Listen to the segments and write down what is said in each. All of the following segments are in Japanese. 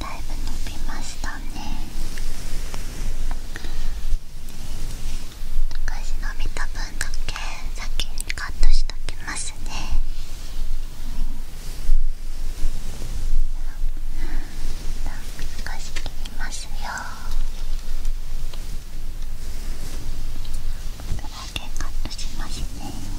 だいぶ伸びましたね昔のびた分だけ先にカットしときますね少し切りますよけカットしますね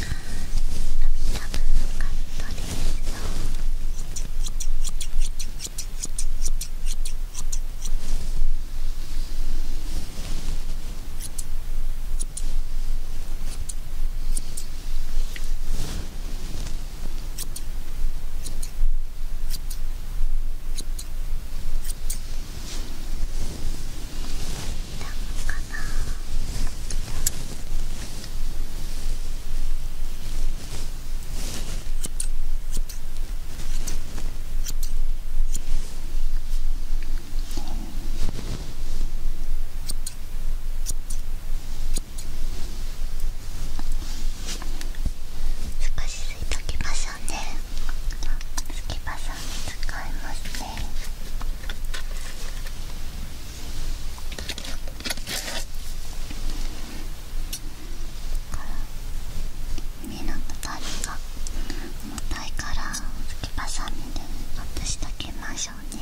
かな。少しすいときましょうねすきばさみ使いますね耳のたたりが重たいからすきばさみで外しておきましょうね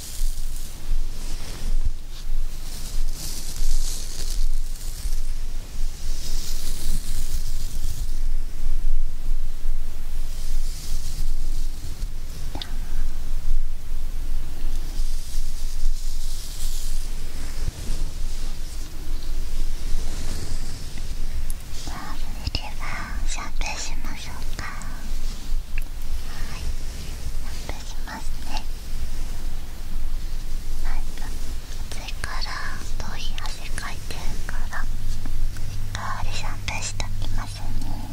それではシャンプーしましょうかしますねなんか暑から遠い汗かいてるからしっかりシャンプーしときますね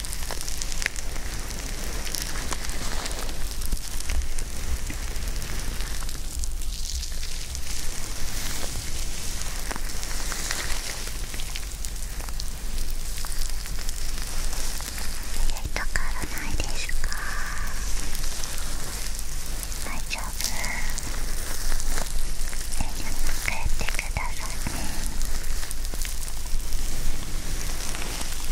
痛からないですか大丈ってくださいね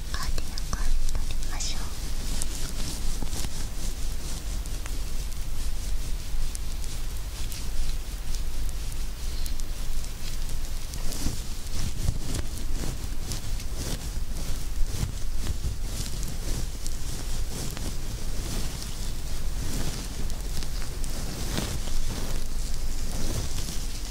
しっかり横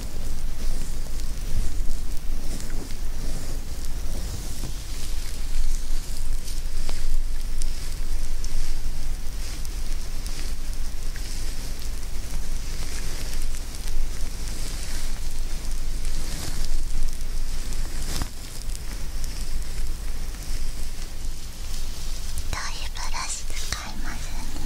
いブラシ使いますね。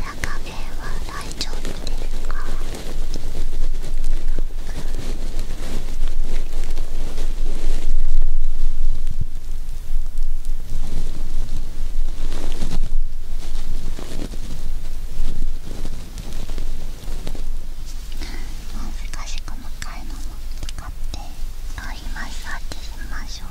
らかめは大丈夫ですかもう少し細かいのも使って、ローマッサージしましょう。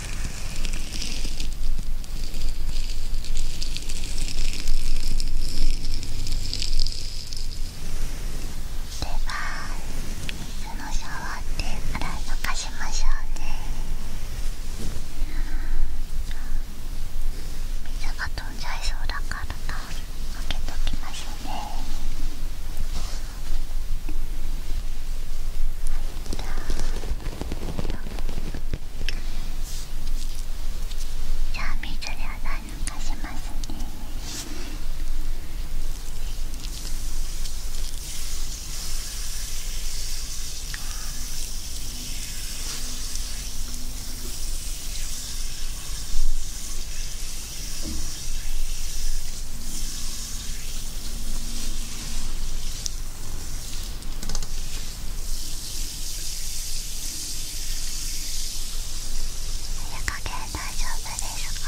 では水のシャワーで洗い流しましょうね水が飛んじゃいそうだからタオかけときますねはいじゃあじゃあ水で洗い流しますね加減大丈夫ですか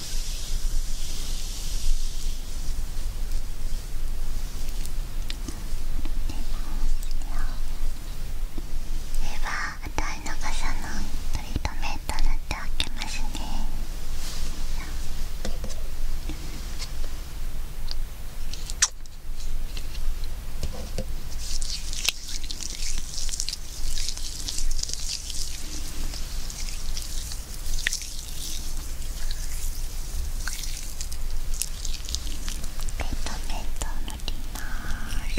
では与いの傘のトリートメント塗っておきますねトペト塗ります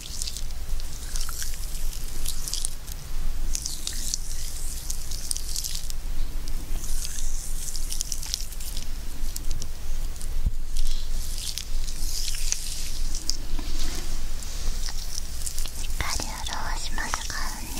しっかり潤しますからね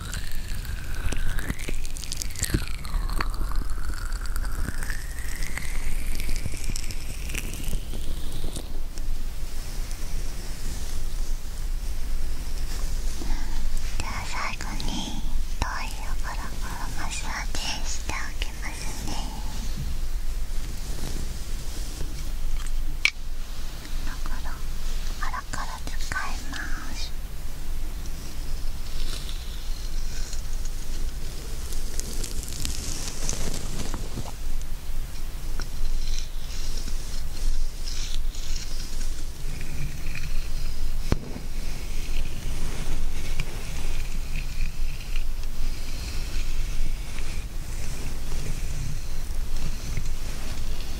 じゃあ最後に遠いよからからマッサージしておきますね。だから腹から使いますこ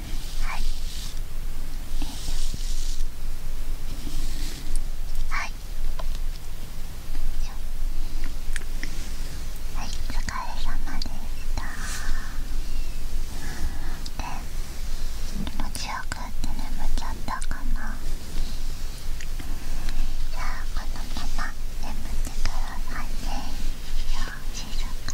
はいはいはいお疲れ様でした気持ちよくて眠っちゃったかなじゃあこのまま眠ってください